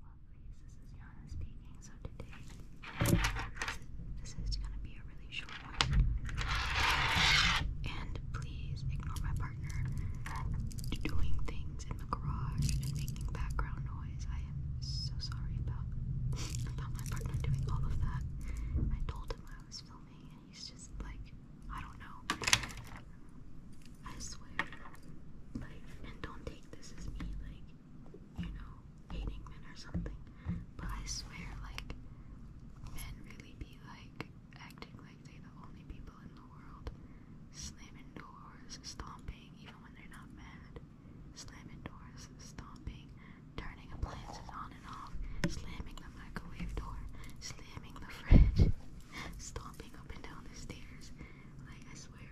lovelies, this is Yana speaking. So today, this is gonna be a really short one. And please ignore my partner doing things in the garage and making background noise. I am so sorry about about my partner doing all of that. I told him I was filming, and he's just like, I don't know. I swear. Like, and don't take this as me, like, you know, hating men or something. But I swear, like, men really be like acting like they the only people in the world. Slamming doors, stomping, even when they're not mad. Slamming doors, stomping, turning appliances on and off, slamming the microwave door, slamming the fridge, stomping up and down the stairs, like I swear.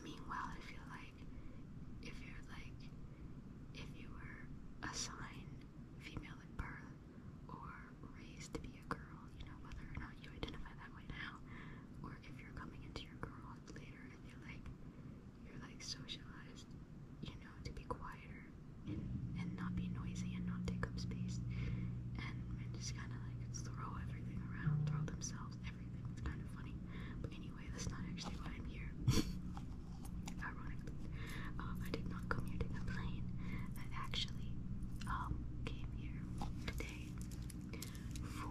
Meanwhile, I feel like if you're like if you were assigned female at birth or raised to be a girl, you know, whether or not you identify that way now, or if you're coming into your girlhood later, I feel like you're like socialized, you know, to be quieter and and not be noisy and not take up space and, and just kinda like throw it everything around, throw themselves, everything. It's kind of funny. But anyway, that's not actually why I'm here. Ironically, um, I did not come here to complain. I actually um, came here today for,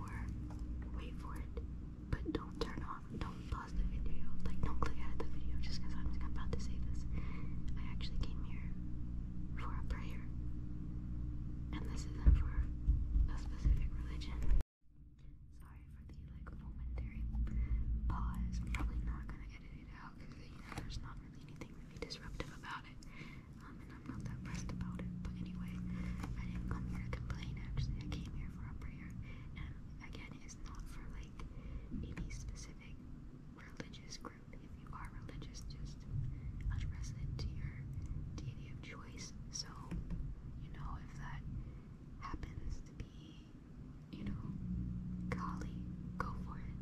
wait for it, but don't turn on, don't pause the video, like don't click out of the video just I'm about to say this. I actually came here for a prayer here. And this isn't for a specific religion. Sorry for the like momentary pause. probably not gonna edit it out because you there's not really anything really disruptive about it. Um, I'm not that pressed about it. But anyway, I didn't come here to complain actually. I came here for a prayer. And again, it's not for like any specific religious if you are religious, just address it to your deity of choice. So, you know, if that happens to be, you know, Kali, go for it.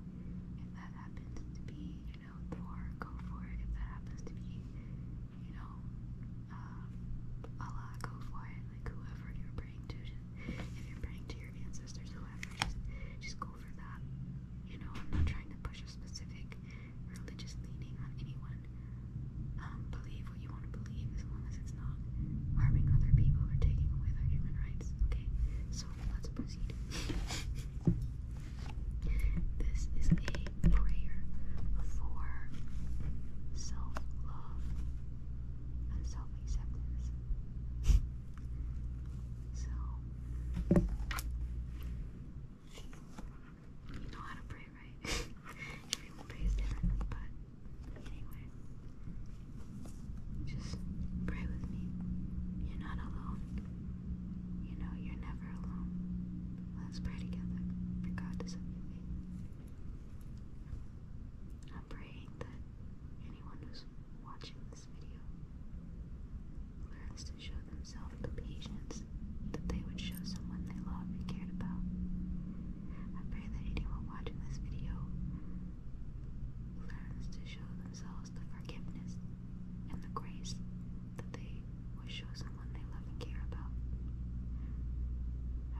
If that happens to be, you know, Thor, go for it. If that happens to be, you know, uh, Allah, go for it. Like whoever you're praying to, just, if you're praying to your ancestors, whoever, just just go for that. You know, I'm not trying to push a specific religious leaning on anyone. Um, believe what you want to believe as long as it's not harming other people or taking away their human rights. Okay, so let's proceed. this is a prayer for self love and self acceptance. so, you know how to pray, right? Everyone prays differently, but anyway. Just pray with me. You're not alone. You know, you're never alone. Let's pray together, regardless of your faith. I'm praying that anyone who's watching this video Learn to show themselves patience that they would show someone they loved and cared about. I pray that anyone watching this video learns to show themselves the forgiveness and the grace that they would show someone they love and care about.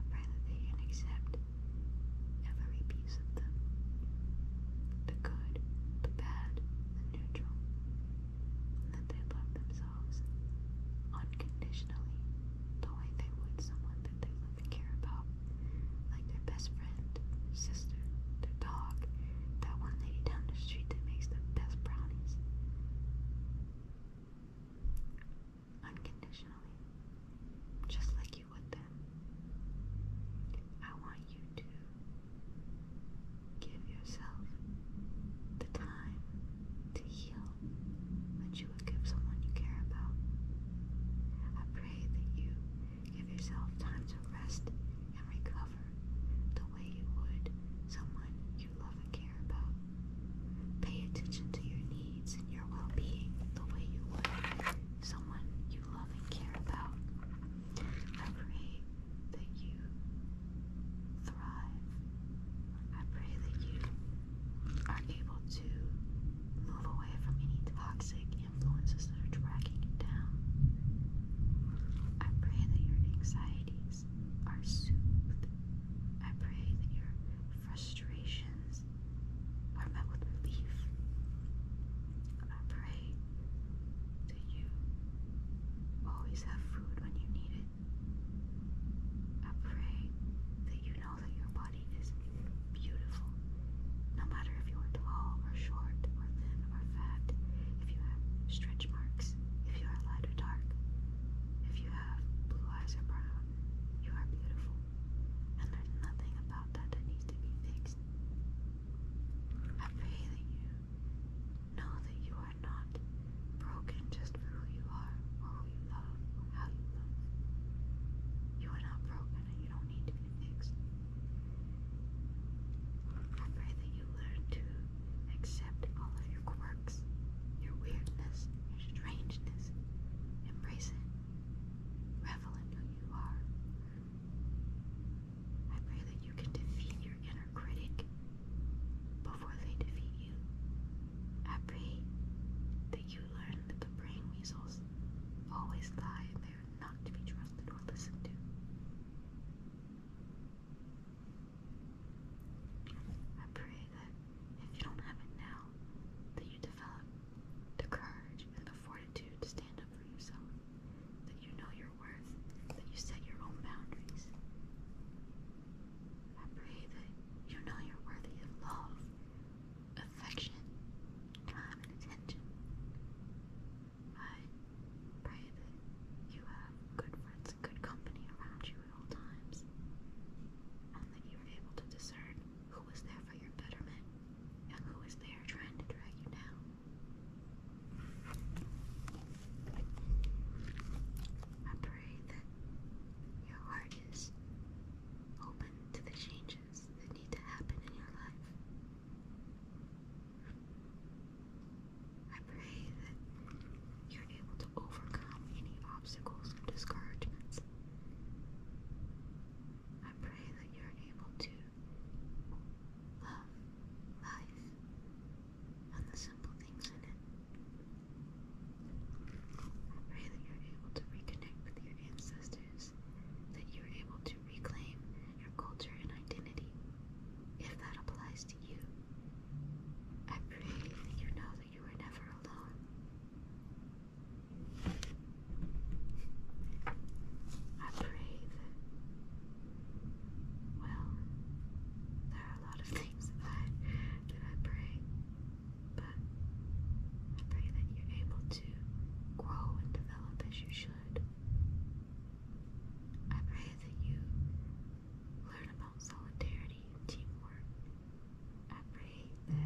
I pray that they can accept every piece of them the good, the bad, the neutral, that they love themselves unconditionally, the way they would someone that they love and care about, like their best friend, sister, their dog, that one lady down the street that makes the best brownies. Unconditionally, just like you would them. I want you to give yourself the time to heal that you would give someone you care about. I pray that you give yourself time to rest and recover the way you would someone you love and care about. Pay attention to your needs and your well being the way you would someone you love and care about. I pray that you thrive. I pray that you are able to move away from any toxic influences that are dragging you down. I pray that your anxieties are soothed. I pray that your frustrations are met with relief. I pray do you always have food when you need it? I pray that you know that your body is beautiful, no matter if you are tall or short or thin or fat, if you have stretch marks, if you are light or dark, if you have blue eyes or brown, you are beautiful. And there's nothing about that that needs to be fixed. I pray that you know that you are not broken just for who you are, or who you love, how you love. You are not broken and you don't need to be fixed. I pray that you learn to accept all of your quirks, your weirdness, your strangeness. Embrace it. Revel in who you are. I pray that you can defeat your inner critic before they defeat you. I pray that you learn that the brain weasels always lie they are not to be trusted or listened to. I pray that if you don't have it now, that you develop the courage and the fortitude to stand up for yourself, that you know your worth, that you set your own boundaries. I pray that you know you're worthy of love, affection, time, and attention. I pray that you have good friends and good company around you at all times, and that you are able to discern who is there for your betterment and who is there trying to drag you down. I pray that your heart is open to the changes that need to happen in your life. I pray that you're able to overcome any obstacles and discouragements. I pray that you're able to love life and the simple things in it. I pray that you're able to reconnect with your ancestors, that you're able to reclaim your culture and identity, if that applies to you. I pray that you know that you are never alone. I pray that well, there are a lot of things that I, pray, but I pray that you're able to grow and develop as you should. I pray that you learn about solidarity and teamwork. I pray that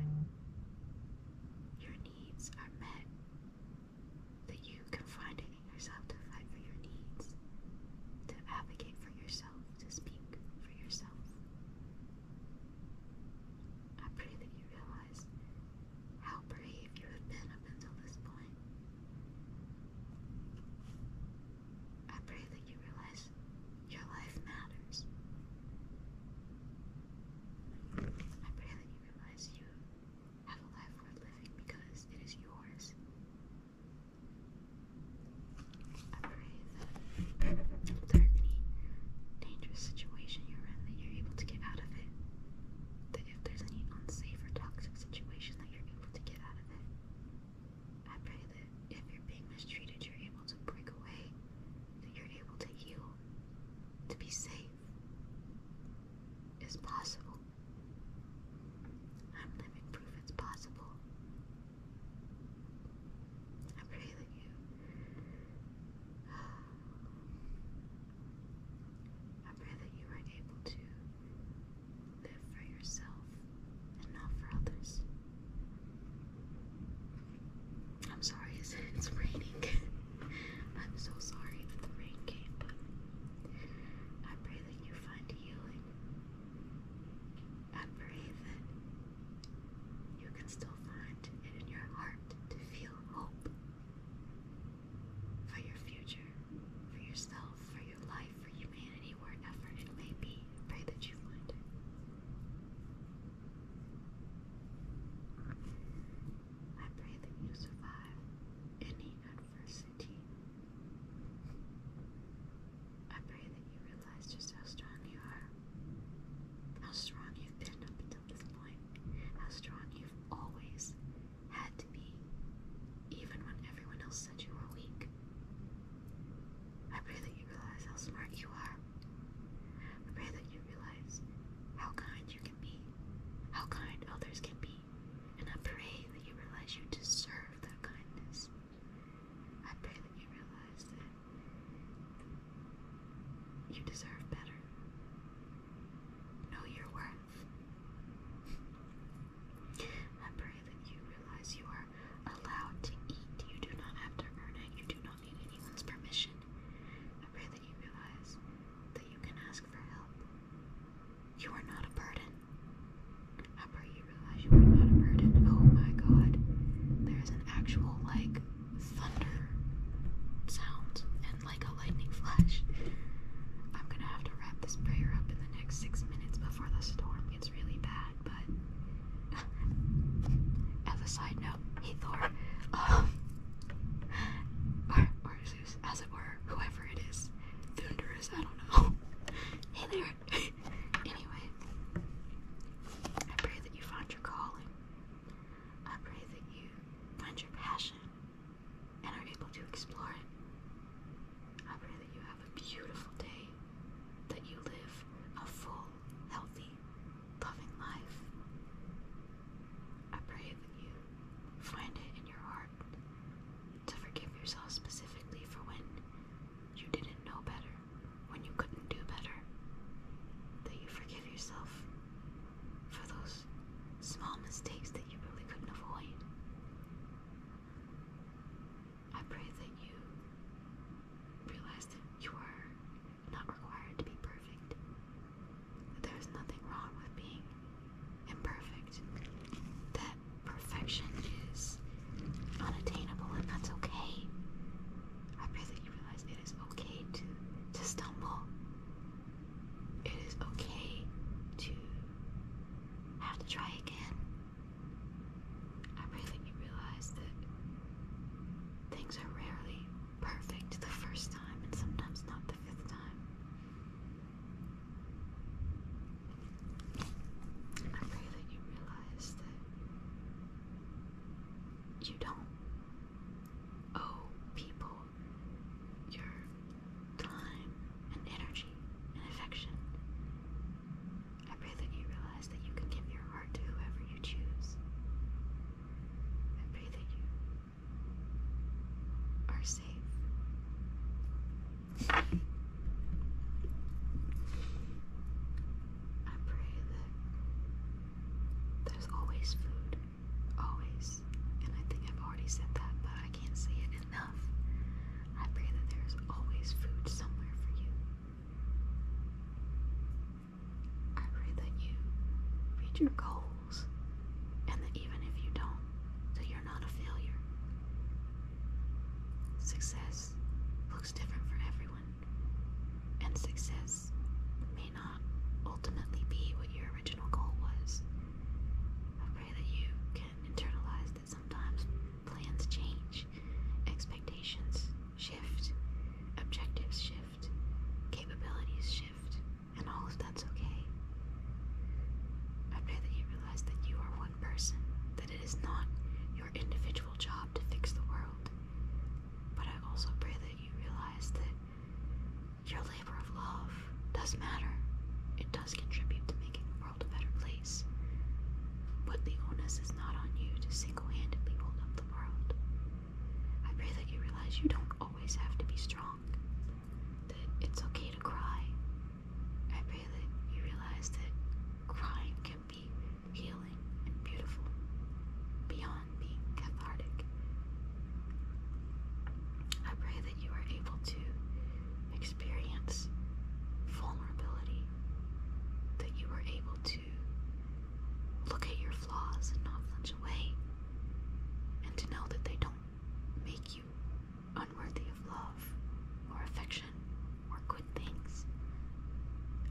your needs are met, that you can find an yourself to fight for your needs, to advocate for yourself, to speak for yourself. I pray that you realize how brave you have been up until this point. I pray that you realize your life matters. I pray that you realize you have a life worth living because it is yours I pray that there any dangerous situation you're in that you're able to get out of it. That if there's any unsafe or toxic situation that you're able to get out of it. I pray that if you're being mistreated, you're able to break away, that you're able to heal, to be safe. Is possible. I'm living proof it's possible. I'm really you. i pray that you are able to live for yourself and not for others. I'm sorry, it's, it's raining. I'm so sorry that the rain came, but I pray that you find healing and breathe it. You can still find it in your heart to feel hope for your future, for yourself, for your life, for humanity, wherever it may be. Pray that you find it. I pray that you survive any adversity. I pray that you realize just how strong you are. How strong you've been up until this point. How strong you've always had to be, even when everyone else said you were weak. I pray that you realize how smart you are. I pray that you realize how kind you can be, how kind others can be, and I pray that you realize you deserve that kindness. I pray that you realize that you deserve better. Know your worth. I pray that you realize you are allowed to eat. You do not have to earn it. You do not need anyone's permission. I pray that you realize that you can ask for help. You are not a burden. How pray you realize you are not a burden? Oh my god. There's an actual, like, thunder sound and, like, a lightning flash. I'm gonna have to wrap this prayer up in the next six minutes before the storm gets really bad, but. As a side note, Thor, um, or, or Zeus, as it were, whoever it is, Thunderous, I don't know. hey anyway, I pray that you find your calling. I pray that you find your passion and are able to explore it. I pray that you have a beautiful day, that you live a full, healthy, loving life. I pray that you find it in your heart. To forgive yourself specifically for when you didn't know better, when you couldn't do better. That you forgive yourself for those small mistakes that you really couldn't avoid. I pray that you realize that you are not required to be perfect, that there is nothing wrong with being imperfect, that perfection is unattainable and that's okay. I pray that you realize it is okay to to stumble. It is okay to have to try again. I pray that you realize that things are rarely perfect the first time and sometimes not the fifth time. I pray that you realize that you don't owe people your time and energy and affection. I pray that you realize that you can give your heart to whoever you choose. I pray that you are safe I pray that there's always food. Always. And I think I've already said that, but I can't say it enough. I pray that there's always food somewhere for you. I pray that you reach your goals and that even if you don't, that not a failure. Success looks different for everyone, and success may not ultimately be what your original goal was. I pray that you can internalize that sometimes plans change, expectations shift, objectives shift, capabilities shift, and all of that's okay. I pray that you realize that you are person that it is not your individual job to fix the world. But I also pray that you realize that your labor of love does matter. It does contribute to making the world a better place. But the onus is not on you to single handedly hold up the world. I pray that you realize you don't always have to be strong, that it's okay to cry, I pray that you realize that crying can be healing and beautiful beyond being cathartic. I pray that you are able to experience vulnerability, that you are able to look at your flaws and not flinch away, and to know that they don't make you unworthy of love, or affection, or good things.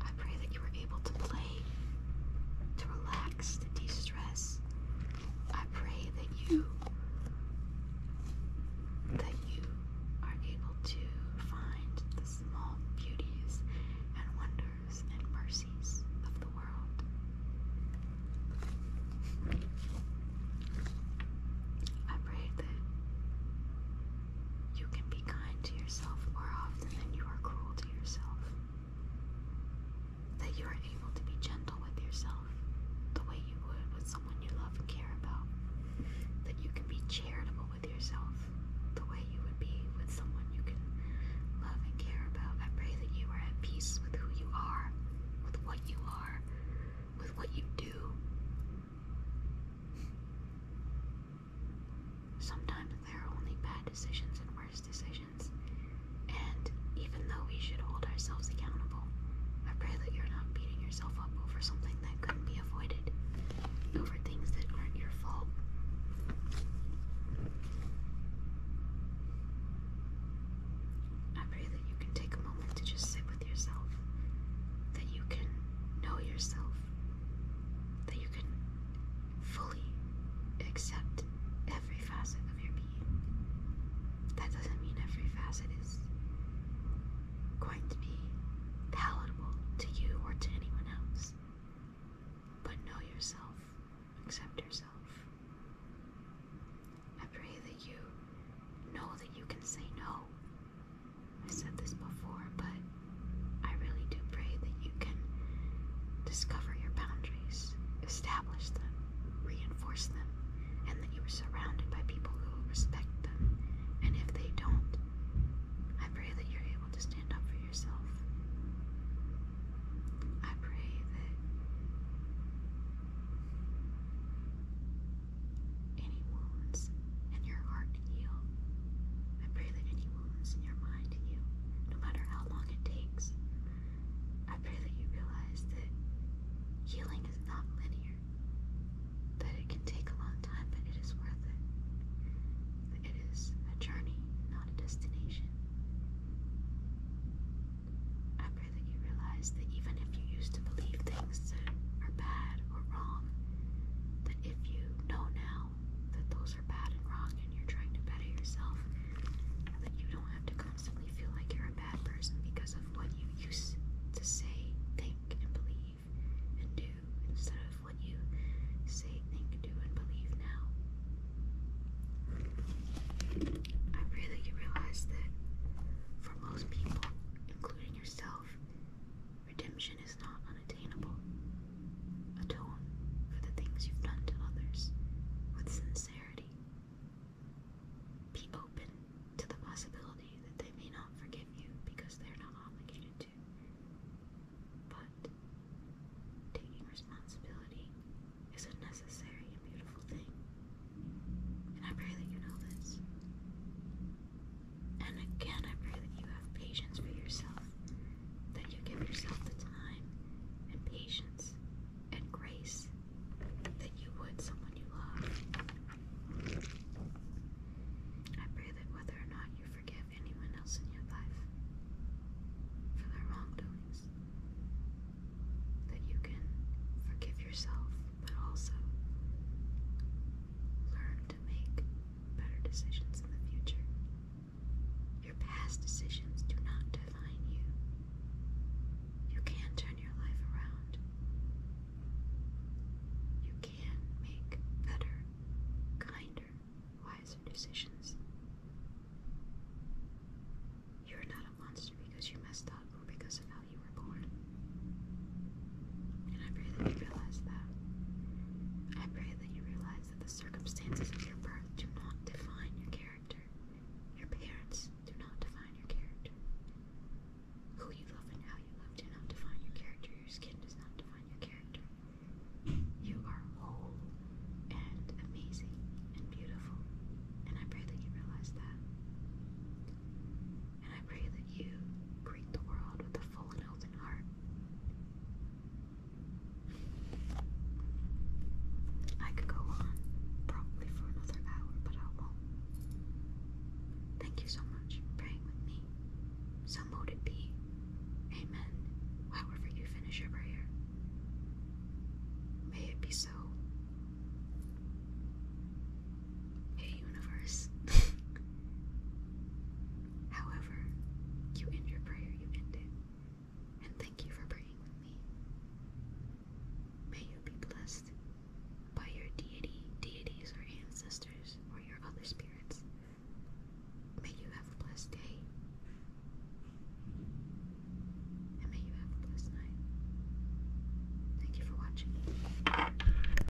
I pray that you are able to play, to relax, to de stress. I pray that you. That you are able to find the small beauties and wonders and mercies of the world. I pray that you can be kind to yourself more often than you are cruel to yourself. That you are able to be gentle with yourself the way you would with someone you love and care about. That you can be charitable with yourself the way you would be with someone you can love and care about. I pray that you are at peace with who you are, with what you are, with what you do, Sometimes there are only bad decisions and worse decisions, and even though we should hold ourselves accountable, I pray that you're not beating yourself up over something that couldn't be avoided, over things that aren't your fault. I pray that you can take a moment to just sit yourself, that you can know yourself, that you can fully accept every facet of your being. That doesn't mean every facet is going to be palatable to you or to anyone else, but know yourself, accept yourself. I pray that you know that you can say no I said this before, but I really do pray that you can discover your boundaries, establish them, reinforce them, and that you are surrounded by people who will respect them. And if they don't, I pray that you're able to stand up for yourself. I pray that any wounds in your heart heal. I pray that any wounds in your mind heal, no matter how long it takes. I pray that you realize that healing is not linear, that it can take a long time, but it is worth it. it is a journey, not a destination. I pray that you realize that even if you used to believe that are bad or wrong, that if you know now that those are bad and wrong and you're trying to better yourself, that you don't have to constantly feel like you're a bad person because of what you used to say, think, and believe and do instead of what you say, think, do, and believe now. I really realized that for most people, including yourself, Redemption is not unattainable. Atone for the things you've done to others with sincerity. Be open to the possibility that they may not forgive you because they're not obligated to. But taking responsibility is a necessary and beautiful thing. And I pray that you know this. And again, I pray that you have patience for yourself, that you give yourself the time and patience and grace that you would someone you love. I pray that whether or not you forgive anyone else in your life for their wrongdoings, that you can forgive yourself, but also learn to make better decisions in the future. Your past decisions do not define you. You can turn your life around. You can make better, kinder, wiser decisions. You're not a monster because you messed up or because of how you and I pray that you realize that. I pray that you realize that the circumstances of your birth do not define your character. Your parents do not define your character. Who you love and how you love do not define your character. Your skin does not define your character. You are whole and amazing and beautiful. And I pray that you realize that and I pray that you greet the world with a full and open heart. I could go on probably for another hour, but I won't. Thank you so much for praying with me. So mote it be. Amen. However you finish your prayer. May it be so. Hey, universe. However, you end your prayer, you end it. And thank you for praying with me. May you be blessed by your deity, deities, or ancestors, or your other spirits. May you have a blessed day. And may you have a blessed night. Thank you for watching.